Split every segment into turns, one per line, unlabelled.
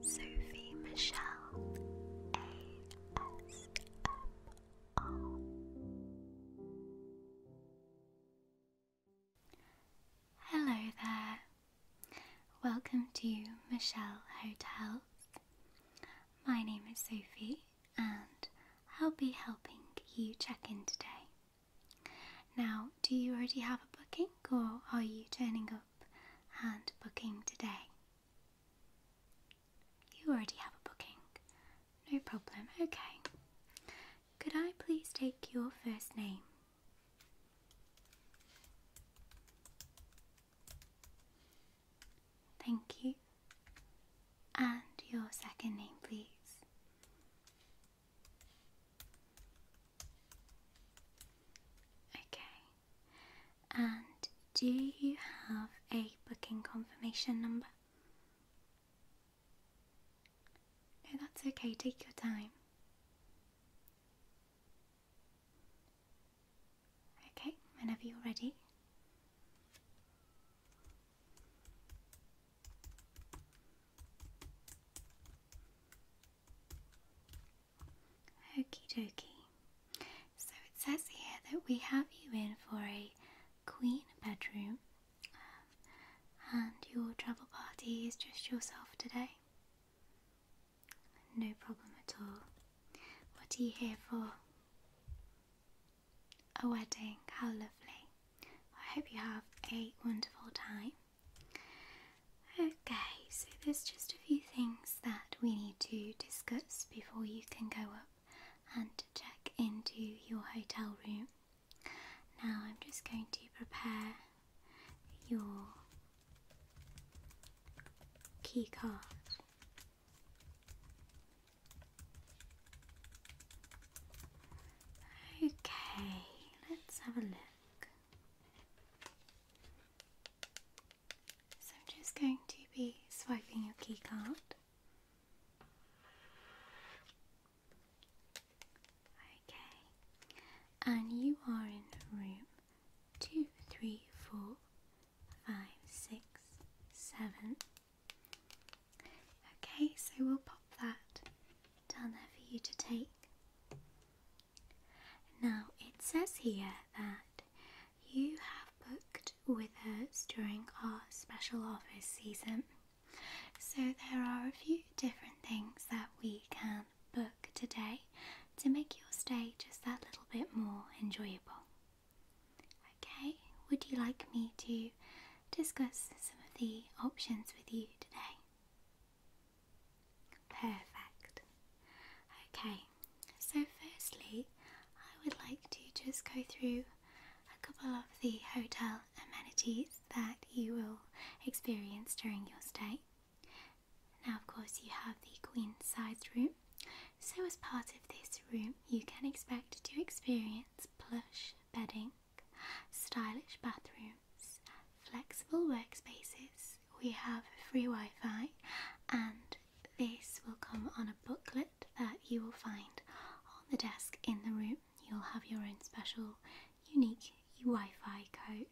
Sophie Michelle ASMR. Hello there. Welcome to Michelle Hotels. My name is Sophie and I'll be helping you check in today. Now, do you already have a booking or are you turning up and booking today. You already have a booking. No problem. Okay. Could I please take your first name? Thank you. And your second name, please. Okay. And do you have a booking confirmation number? No, that's okay. Take your time. Okay, whenever you're ready. Okie dokie. So it says here that we have you in for a queen bedroom, um, and your travel party is just yourself today. No problem at all. What are you here for? A wedding, how lovely. I hope you have a wonderful time. Okay, so there's just a few things that we need to discuss before you can go up and check into your hotel room. Now, I'm just going to prepare your key card. Okay, let's have a look. So I'm just going to be swiping your keycard. Okay, and you are in room two, three, four, five, six, seven. Okay, so we'll pop that down there for you to take. Now it says here that you have booked with us during our special office season. So there are a few different things that we can book today to make your stay just that little bit more enjoyable. Okay, would you like me to discuss some of the options with you today? Perfect. Okay, so firstly, I would like to just go through a couple of the hotel amenities that you will experience during your stay. Now, of course, you have the queen sized room. So, as part of this room, you can expect to experience plush bedding, stylish bathrooms, flexible workspaces, we have free Wi Fi, and this will come on a booklet that you will find on the desk in the room. You'll have your own special, unique Wi Fi code.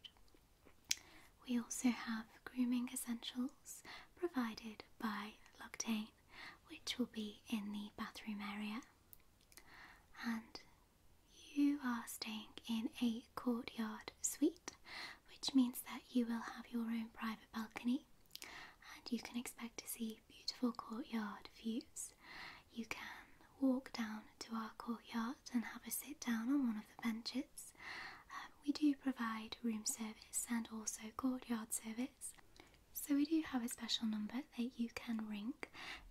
We also have grooming essentials provided by Loctane, which will be in the bathroom area. And you are staying in a courtyard suite, which means that you will have your own private balcony and you can expect to see beautiful courtyard views. You can walk down to our courtyard and have a sit down on one of the benches. Um, we do provide room service and also courtyard service. So, we do have a special number that you can ring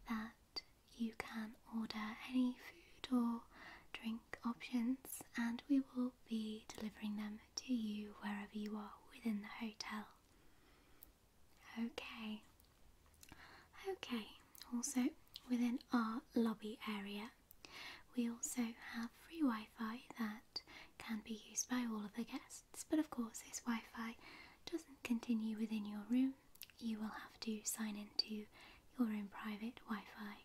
that you can order any food or drink options, and we will be delivering them to you wherever you are within the hotel. Okay, okay, also within our lobby area, we also have free Wi Fi that can be used by all of the guests, but of course, this Wi Fi doesn't continue within your room. You will have to sign into your own private Wi-Fi.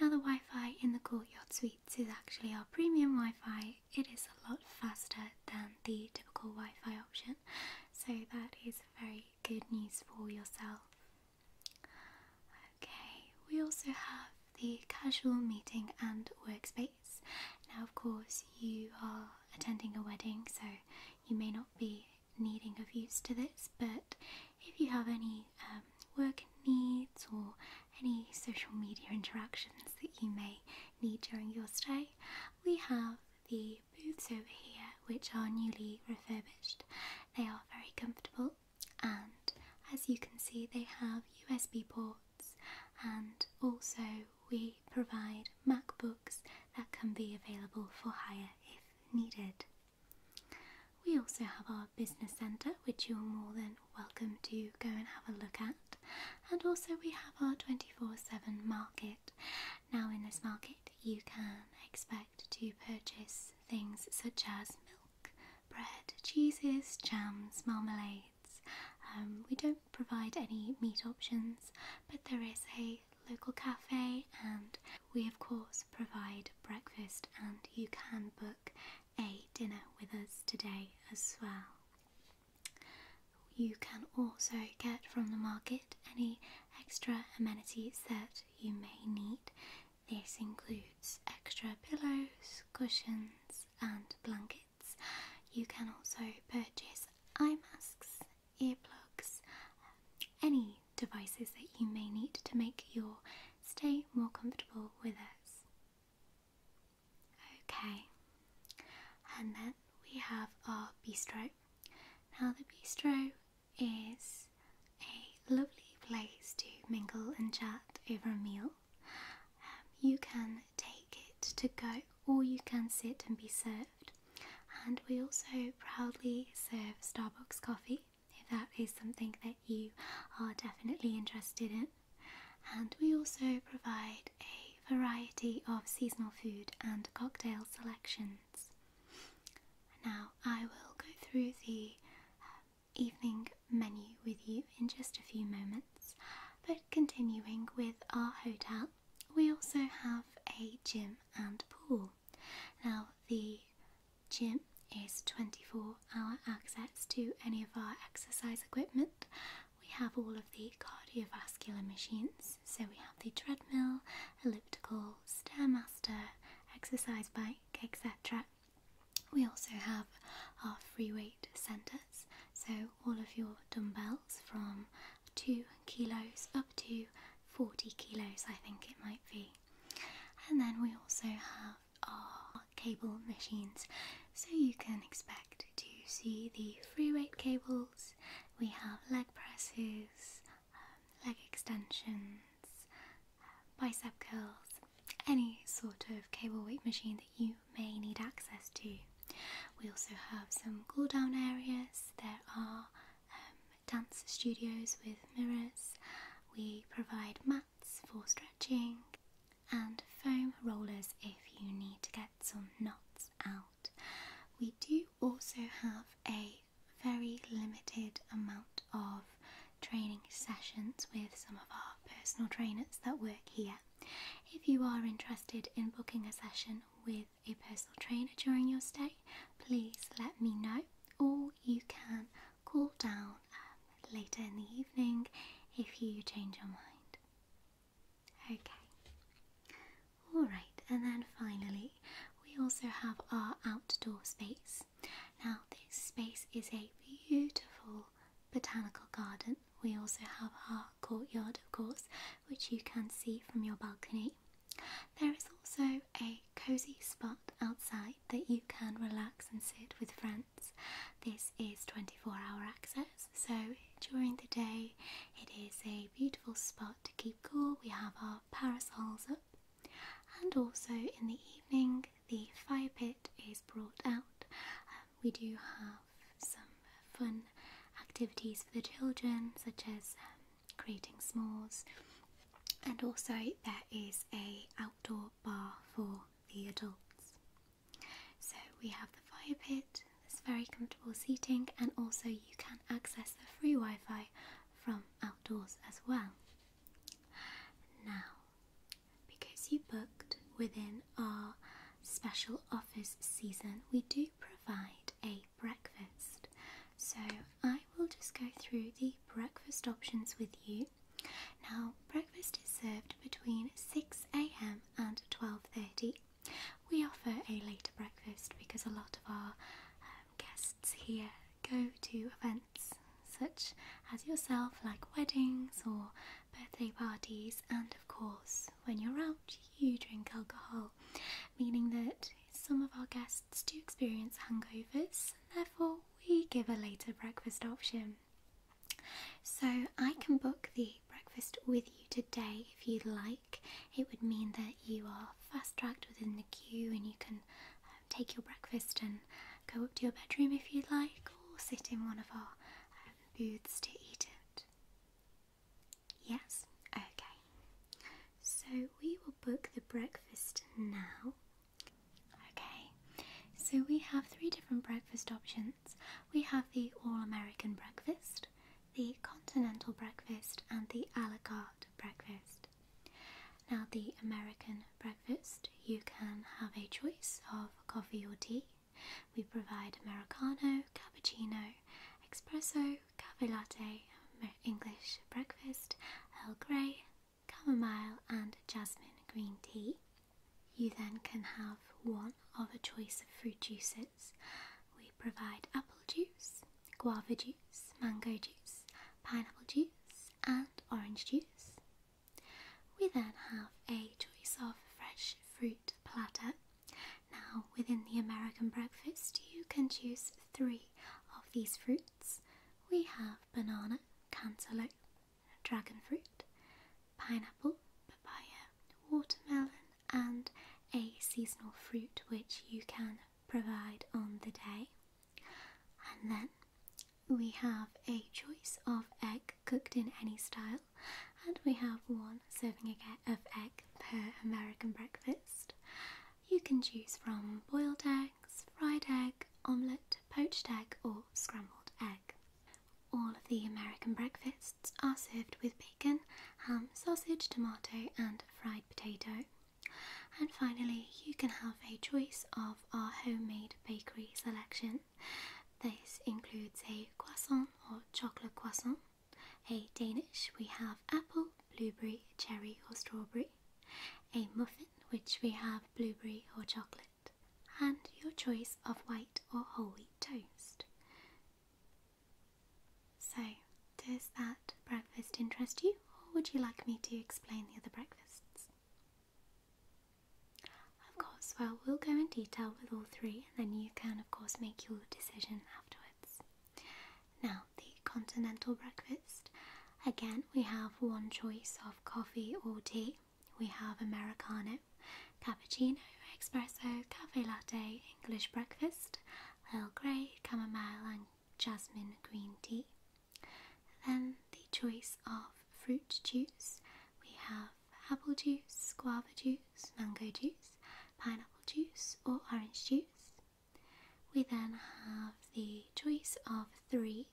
Now the Wi-Fi in the courtyard suites is actually our premium Wi-Fi. It is a lot faster than the typical Wi-Fi option, so that is very good news for yourself. Okay, we also have the casual meeting and workspace. Now, of course, you are attending a wedding, so you may not be needing of use to this, but if you have any um, work needs or any social media interactions that you may need during your stay, we have the booths over here which are newly refurbished. They are very comfortable and as you can see they have USB ports and also we provide MacBooks that can be available for hire if needed. We also have our business centre, which you're more than welcome to go and have a look at, and also we have our 24 7 market. Now, in this market, you can expect to purchase things such as milk, bread, cheeses, jams, marmalades. Um, we don't provide any meat options, but there is a local cafe and we, of course, provide breakfast, and you can book a dinner with us today as well. You can also get from the market any extra amenities that you may need. This includes extra pillows, cushions, and blankets. You can also purchase eye masks, earplugs, any devices that you may need to make your stay more comfortable with us. Okay, and then we have our bistro. Now, the bistro is a lovely place to mingle and chat over a meal. Um, you can take it to go or you can sit and be served. And we also proudly serve Starbucks coffee if that is something that you are definitely interested in. And we also provide a variety of seasonal food and cocktail selections. Now, I will go through the uh, evening menu with you in just a few moments, but continuing with our hotel, we also have a gym and pool. Now, the gym is 24 hour access to any of our exercise equipment. We have all of the cardiovascular machines, so we have the treadmill, elliptical, stairmaster, exercise bike, etc. We also have our free weight centres, so all of your dumbbells from 2 kilos up to 40 kilos, I think it might be. And then we also have our cable machines, so you can expect to see the free weight cables. We have leg presses, um, leg extensions, um, bicep curls, any sort of cable weight machine that you may need access to. We also have some cool down areas. There are um, dance studios with mirrors. We provide mats for stretching and foam rollers if you need to get some knots out. We do also have a very limited amount of training sessions with some of our personal trainers that work here. If you are interested in booking a session with a personal trainer during your stay, please let me know All you can cool down um, later in the evening if you change your mind. Okay. Alright, and then finally, we also have our outdoor space. Now, this space is a beautiful botanical garden. We also have our courtyard, of course, which you can see from your balcony. There is also a cozy spot outside that you can relax and sit with friends. This is 24 hour access, so during the day it is a beautiful spot to keep cool. We have our parasols up, and also in the evening, the fire pit is brought out. Um, we do have some fun activities for the children, such as um, creating s'mores and also there is a outdoor bar for the adults. So we have the fire pit, this very comfortable seating, and also you can access the free Wi Fi from outdoors as well. Now, because you booked within our special offers season, we do provide a breakfast. So I we will just go through the breakfast options with you. Now, breakfast is served between 6 a.m. and 12:30. We offer a later breakfast because a lot of our um, guests here go to events such as yourself, like weddings or birthday parties, and of course, when you're out, you drink alcohol, meaning that some of our guests do experience hangovers, therefore we give a later breakfast option. So I can book the breakfast with you today if you'd like. It would mean that you are fast tracked within the queue and you can um, take your breakfast and go up to your bedroom if you'd like, or sit in one of our um, booths to eat it. Yes? Okay. So we will book the breakfast now. Okay, so we have three different breakfast options. We have the All American breakfast, the Continental breakfast, and the a la carte breakfast. Now, the American breakfast, you can have a choice of coffee or tea. We provide Americano, cappuccino, espresso, cafe English breakfast, Earl Grey, chamomile and jasmine green tea. You then can have one of a choice of fruit juices. We provide apple juice, guava juice, mango juice, pineapple juice, and orange juice. We then have a choice of fresh fruit platter. Now, within the American breakfast, you can choose three of these fruits we have banana, cantaloupe, dragon fruit, pineapple, papaya, watermelon, and a seasonal fruit which you can provide on the day. And then we have a choice of egg cooked in any style, and we have one serving of egg per American breakfast. You can choose from boiled eggs, fried eggs omelette, poached egg, or scrambled egg. All of the American breakfasts are served with bacon, ham, sausage, tomato, and fried potato. And finally, you can have a choice of our homemade bakery selection. This includes a croissant or chocolate croissant, a Danish, we have apple, blueberry, cherry, or strawberry, a muffin, which we have blueberry or chocolate and your choice of white or whole wheat toast. So, does that breakfast interest you, or would you like me to explain the other breakfasts? Of course, well, we'll go in detail with all three, and then you can, of course, make your decision afterwards. Now, the continental breakfast. Again, we have one choice of coffee or tea. We have Americano, cappuccino, espresso, cafe latte, English breakfast, Earl Grey, chamomile, and jasmine green tea. Then the choice of fruit juice. We have apple juice, guava juice, mango juice, pineapple juice, or orange juice. We then have the choice of three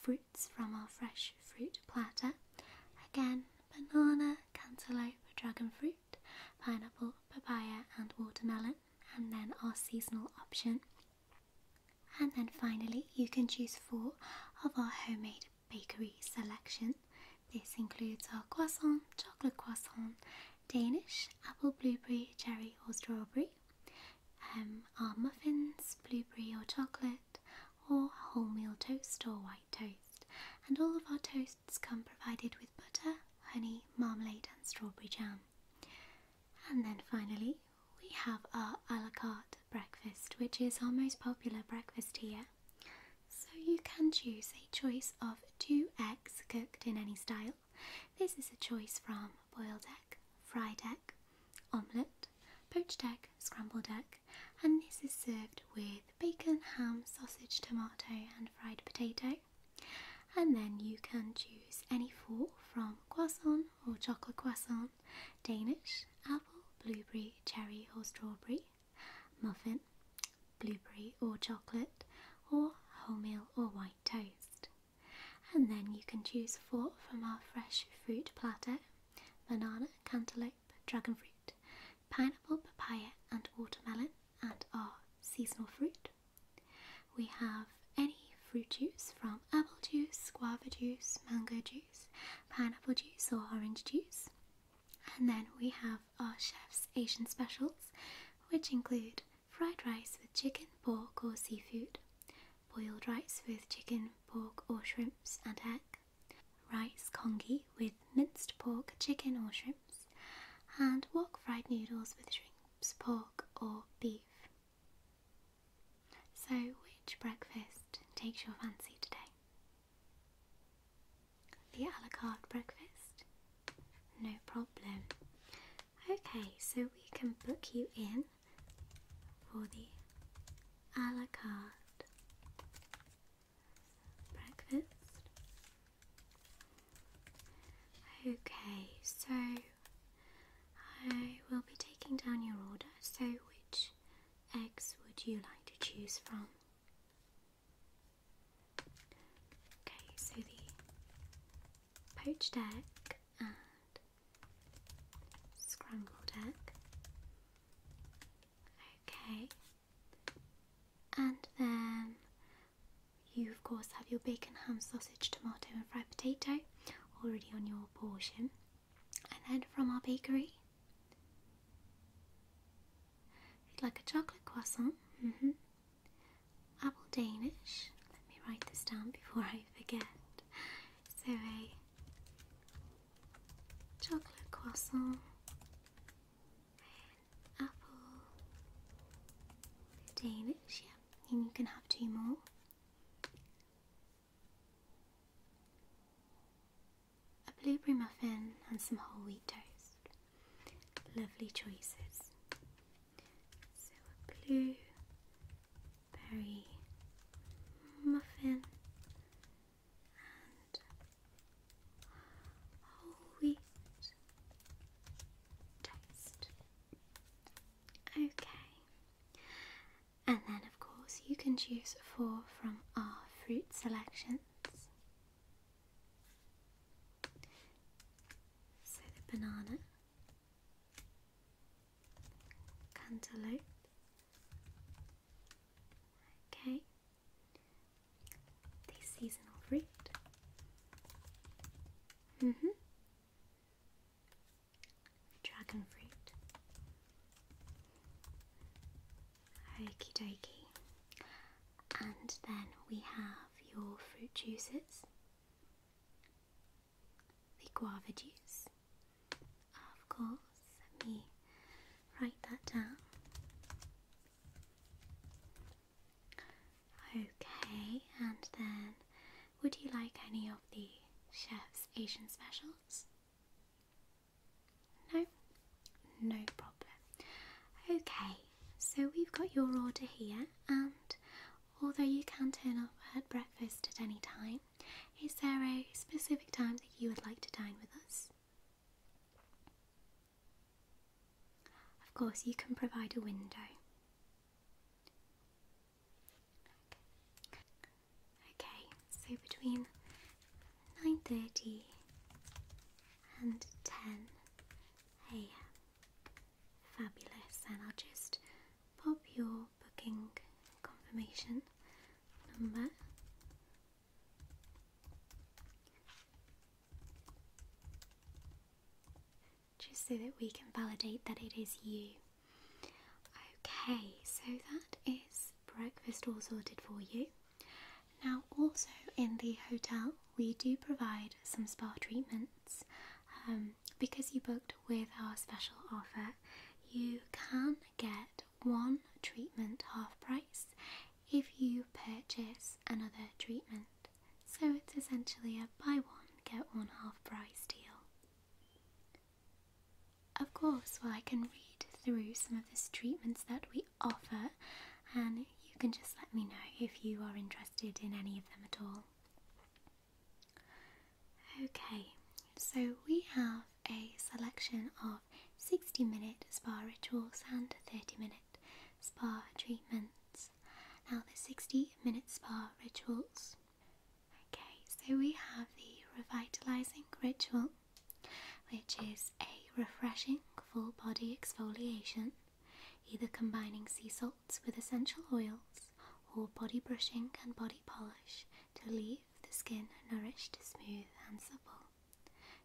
fruit from our fresh fruit platter. Again, banana, cantaloupe, dragon fruit, pineapple, papaya, and watermelon, and then our seasonal option. And then finally, you can choose four of our homemade bakery selection. This includes our croissant, chocolate croissant, Danish, apple, blueberry, cherry, or strawberry um, are muffins, blueberry or chocolate, or wholemeal toast or white toast. And all of our toasts come provided with butter, honey, marmalade, and strawberry jam. And then finally, we have our a la carte breakfast, which is our most popular breakfast here. So you can choose a choice of two eggs cooked in any style. This is a choice from boiled egg, fried egg, omelette, poached egg, scrambled egg, and this is served with bacon, ham, sausage, tomato, and fried potato. And then you can choose any four from croissant or chocolate croissant, Danish, apple, blueberry, cherry, or strawberry, muffin, blueberry or chocolate, or wholemeal or white toast. And then you can choose four from our fresh fruit platter banana, cantaloupe, dragon fruit, pineapple, papaya, and watermelon, and our seasonal fruit. We have any fruit juice from apple juice, guava juice, mango juice, pineapple juice, or orange juice. And then we have our chef's Asian specials, which include fried rice with chicken, pork, or seafood, boiled rice with chicken, pork or shrimps and egg, rice congee with minced pork, chicken or shrimps, and wok fried noodles with shrimps, pork or beef. So which breakfast takes your fancy today? The a la carte breakfast? No problem. Okay, so we can book you in for the a la carte breakfast. Okay, so I will be taking down your order. So, which eggs would you like to choose from? Okay, so the poached egg and Scrambled egg. Okay. And then you, of course, have your bacon, ham, sausage, tomato, and fried potato already on your portion. And then from our bakery, you'd like a chocolate croissant, mm-hmm. apple Danish. Let me write this down before I forget. So a chocolate croissant, an apple, Danish, yeah, and you can have two more. A blueberry muffin and some whole wheat toast. Lovely choices. So blue very muffin and whole toast. Okay. And then, of course, you can choose four from our fruit selections. So the banana, cantaloupe, Okay. The seasonal fruit. Mhm. Dragon fruit. Okie dokie. And then we have your fruit juices the guava juice. Of course, let me write that down. Okay, and then would you like any of the chef's Asian specials? No? No problem. Okay, so we've got your order here, and although you can turn up at breakfast at any time, is there a specific time that you would like to dine with us? Of course, you can provide a window. Okay, so between 9.30 and 10 a.m. Fabulous, and I'll just pop your booking confirmation number just so that we can validate that it is you. Okay, so that is breakfast all sorted for you. Now, also in the hotel, we do provide some spa treatments. Um, because you booked with our special offer, you can get one treatment half price if you purchase another treatment. So it's essentially a buy one, get one half price deal. Of course, well, I can read through some of the treatments that we offer, and you can just let me know if you are interested in any of them at all. Okay, so we have a selection of 60 minute spa rituals and 30 minute spa treatments. Now, the 60 minute spa rituals. Okay, so we have the revitalizing ritual, which is a refreshing full body exfoliation, either combining sea salts with essential oils or body brushing and body polish to leave the skin nourished, smooth, and supple.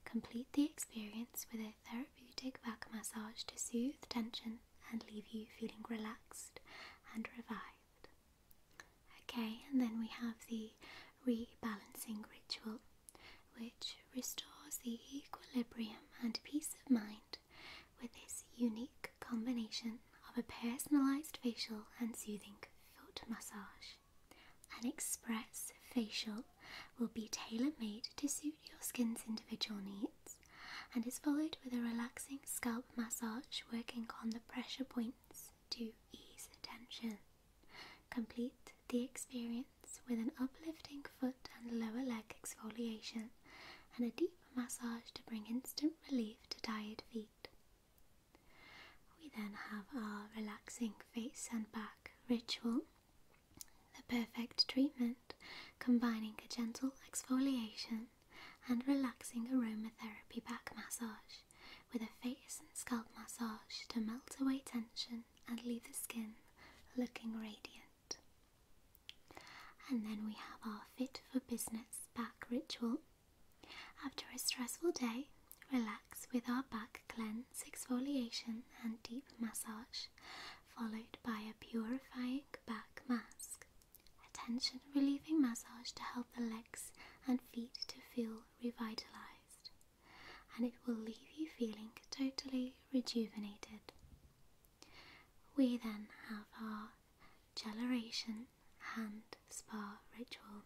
Complete the experience with a therapeutic back massage to soothe tension and leave you feeling relaxed and revived. Okay, and then we have the rebalancing ritual, which restores the equilibrium and peace of mind with this unique combination of a personalized facial and soothing foot massage. An express facial will be tailor made to suit your skin's individual needs and is followed with a relaxing scalp massage working on the pressure points to ease tension. Complete the experience with an uplifting foot and lower leg exfoliation and a deep massage to bring instant relief to tired feet. We then have our relaxing face and back ritual, the perfect treatment combining a gentle exfoliation and relaxing aromatherapy back massage with a face and scalp massage to melt away tension and leave the skin looking radiant. And then we have our Fit for Business back ritual after a stressful day, relax with our back cleanse, exfoliation, and deep massage, followed by a purifying back mask. A tension relieving massage to help the legs and feet to feel revitalized, and it will leave you feeling totally rejuvenated. We then have our Celeration Hand Spa Ritual.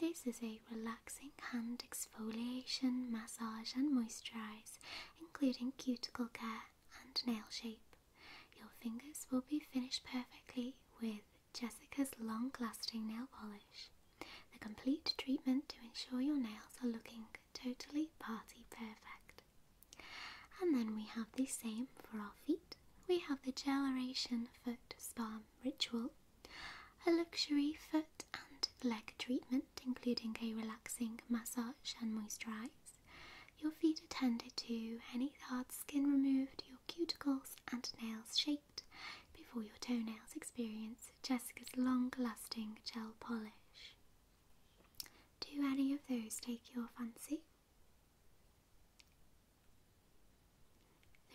This is a relaxing hand exfoliation, massage, and moisturize, including cuticle care and nail shape. Your fingers will be finished perfectly with Jessica's long lasting nail polish. The complete treatment to ensure your nails are looking totally party perfect. And then we have the same for our feet. We have the Geleration Foot Spa ritual, a luxury foot and leg treatment, including a relaxing massage and moisturize, your feet are tended to, any hard skin removed, your cuticles and nails shaped before your toenails experience Jessica's long lasting gel polish. Do any of those take your fancy?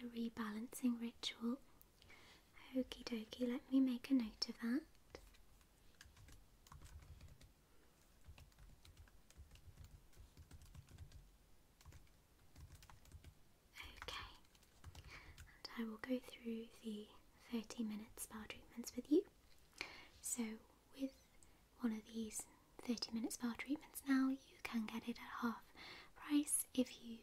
The rebalancing ritual. Okie dokie, let me make a note of that. Okay, and I will go through the 30 minute spa treatments with you. So, with one of these 30 minutes for treatments now, you can get it at half price if you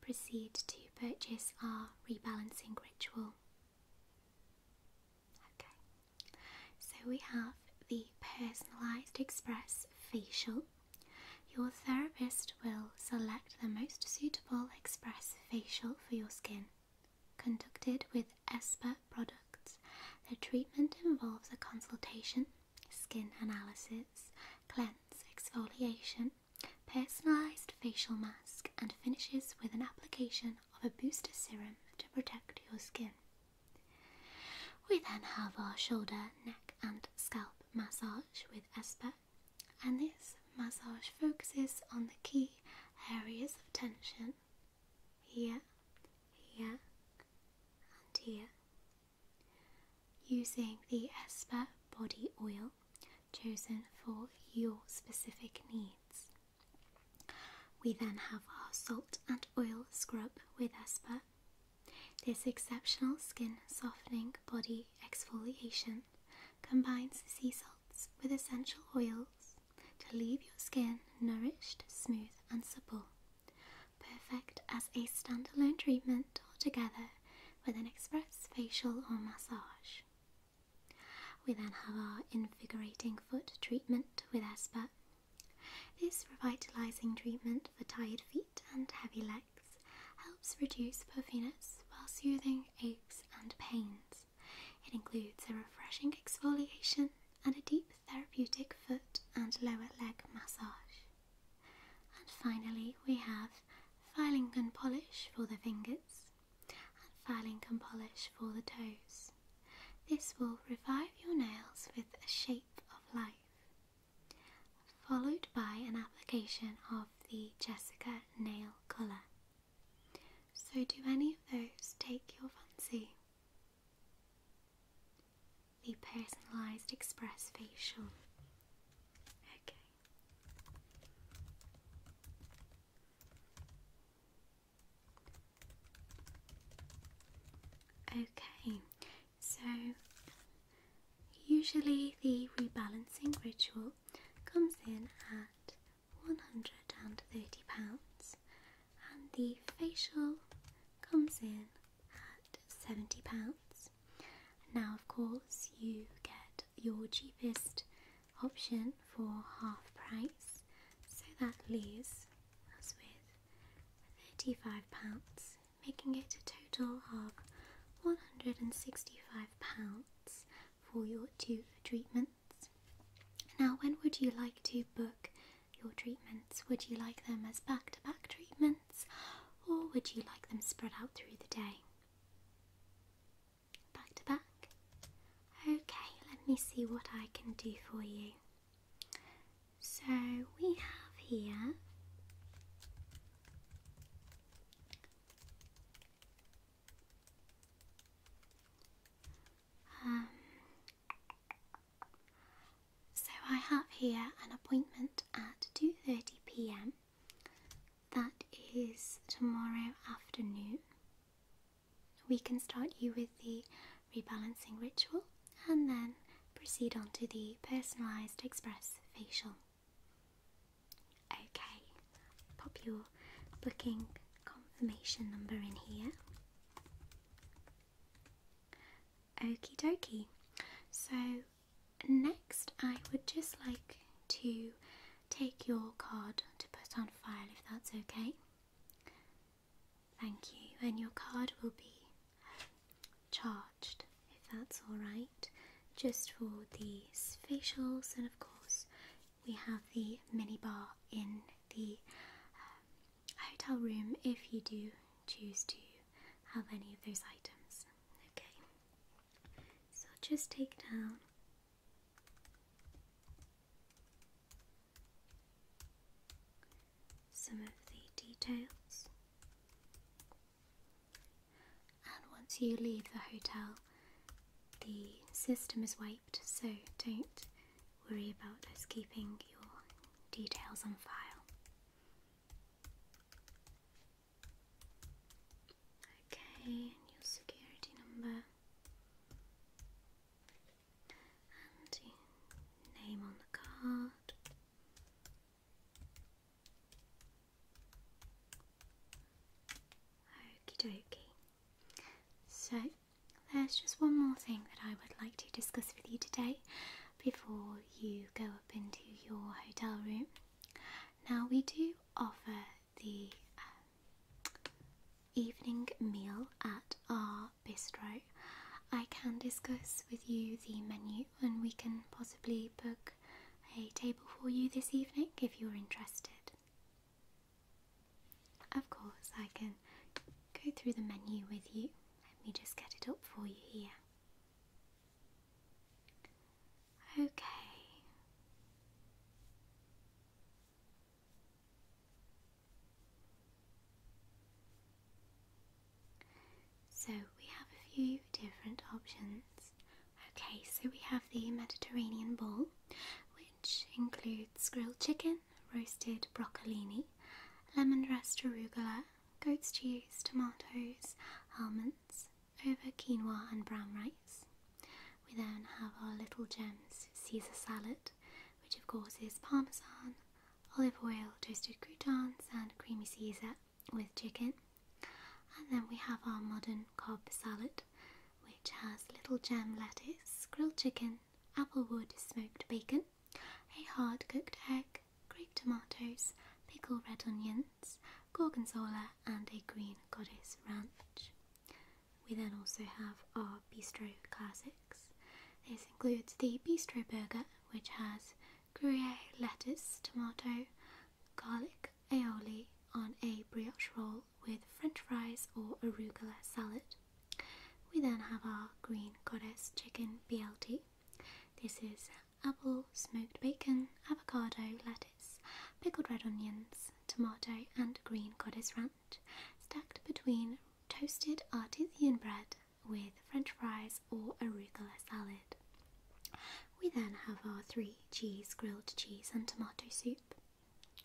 proceed to purchase our rebalancing ritual. Okay, so we have the personalised express facial. Your therapist will select the most suitable express facial for your skin. Conducted with Espert products, the treatment involves a consultation skin analysis, cleanse, exfoliation, personalised facial mask, and finishes with an application of a booster serum to protect your skin. We then have our shoulder, neck, and scalp massage with Esper, and this massage focuses on the key areas of tension here, here, and here. Using the Esper body oil chosen for your specific needs. We then have our salt and oil scrub with Esper. This exceptional skin softening body exfoliation combines sea salts with essential oils to leave your skin nourished, smooth, and supple perfect as a standalone treatment or together with an express facial or massage. We then have our invigorating foot treatment with Esper. This revitalizing treatment for tired feet and heavy legs helps reduce puffiness while soothing aches and pains. It includes a refreshing exfoliation and a deep therapeutic foot and lower leg massage. And finally we have filing and polish for the fingers and filing and polish for the toes. This will revive your nails with a shape of life, followed by an application of the Jessica nail colour. So, do any of those take your fancy? the personalised express facial. Okay. Okay, so usually the rebalancing ritual comes in at £130 and the facial comes in at £70. Now, of course, you get your cheapest option for half price, so that leaves us with £35, making it a total of £165 for your two treatments. Now, when would you like to book your treatments? Would you like them as back to back treatments or would you like them spread out through the day? Back to back? Okay, let me see what I can do for you. So we have here um, so I have here an appointment at 2.30pm. That is tomorrow afternoon. We can start you with the rebalancing ritual and then proceed on to the personalised express facial. Okay, pop your booking confirmation number in here. Okie dokie. So, next, I would just like to take your card to put on file if that's okay. Thank you. And your card will be um, charged if that's alright, just for the facials, and of course, we have the minibar in the um, hotel room if you do choose to have any of those items. Okay, so I'll just take down some of the details. And once you leave the hotel, the system is wiped, so don't worry about us keeping your details on file. Okay, new security number and name on the card. Okie dokie. So, there's just one more thing that I would like to discuss with you today before you go up into your hotel room. Now, we do offer the um, evening meal at our bistro. I can discuss with you the menu and we can possibly book a table for you this evening if you're interested. Of course, I can go through the menu with you. Let me just get it up for you here. Okay. So we have a few different options. Okay, so we have the Mediterranean bowl, which includes grilled chicken, roasted broccolini, lemongrass arugula, goat's cheese, tomatoes, almonds over quinoa and brown rice. We then have our little gems Caesar salad, which of course is parmesan, olive oil, toasted croutons, and creamy Caesar with chicken. And then we have our modern cob salad, which has little gem lettuce, grilled chicken, applewood smoked bacon, a hard cooked egg, grape tomatoes, pickled red onions, gorgonzola, and a green goddess ranch. We then also have our bistro classics. This includes the bistro burger, which has Gruyere lettuce, tomato, garlic, aioli on a brioche roll with french fries or arugula salad. We then have our green goddess chicken BLT. This is apple, smoked bacon, avocado, lettuce, pickled red onions, tomato, and green goddess ranch, stacked between toasted artisan bread with french fries or arugula salad. We then have our three cheese grilled cheese and tomato soup.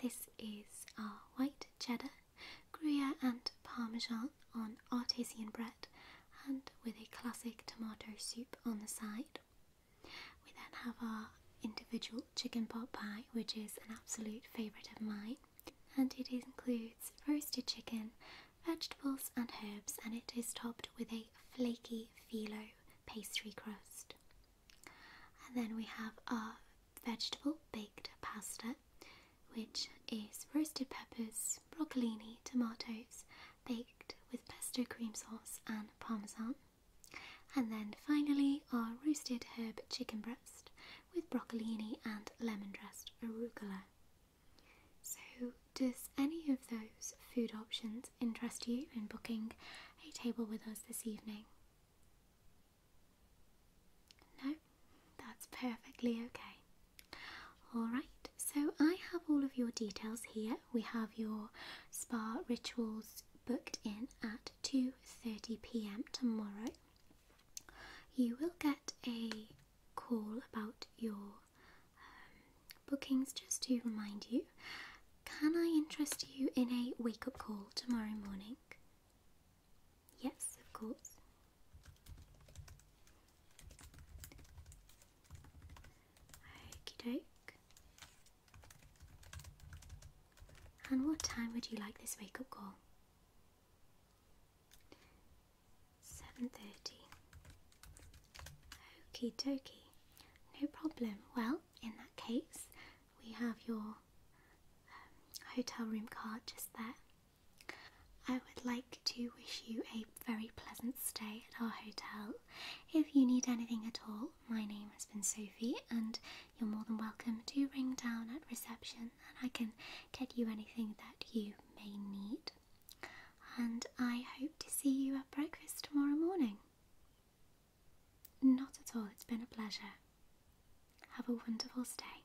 This is our white cheddar, Gruyere and Parmesan on artisan bread and with a classic tomato soup on the side. We then have our individual chicken pot pie, which is an absolute favourite of mine, and it includes roasted chicken, vegetables, and herbs, and it is topped with a flaky phyllo pastry crust. And then we have our vegetable baked pasta, which is roasted peppers, broccolini, tomatoes, baked with pesto cream sauce and parmesan. And then finally, our roasted herb chicken breast with broccolini and lemon dressed arugula. So, does any of those food options interest you in booking a table with us this evening? No, that's perfectly okay. Alright, so I have all of your details here. We have your spa rituals booked in at 2:30 p.m. tomorrow. You will get a call about your um, bookings just to remind you. Can I interest you in a wake up call tomorrow morning? Yes, of course. Okie doke. And what time would you like this wake up call? 7.30. Okie dokey. No problem. Well, in that case, we have your um, hotel room card just there. I would like to wish you a very pleasant stay at our hotel. If you need anything at all, my name has been Sophie, and you're more than welcome to ring down at reception and I can get you anything that you may need. And I hope to see you at breakfast tomorrow morning. Not at all, it's been a pleasure. Have a wonderful stay.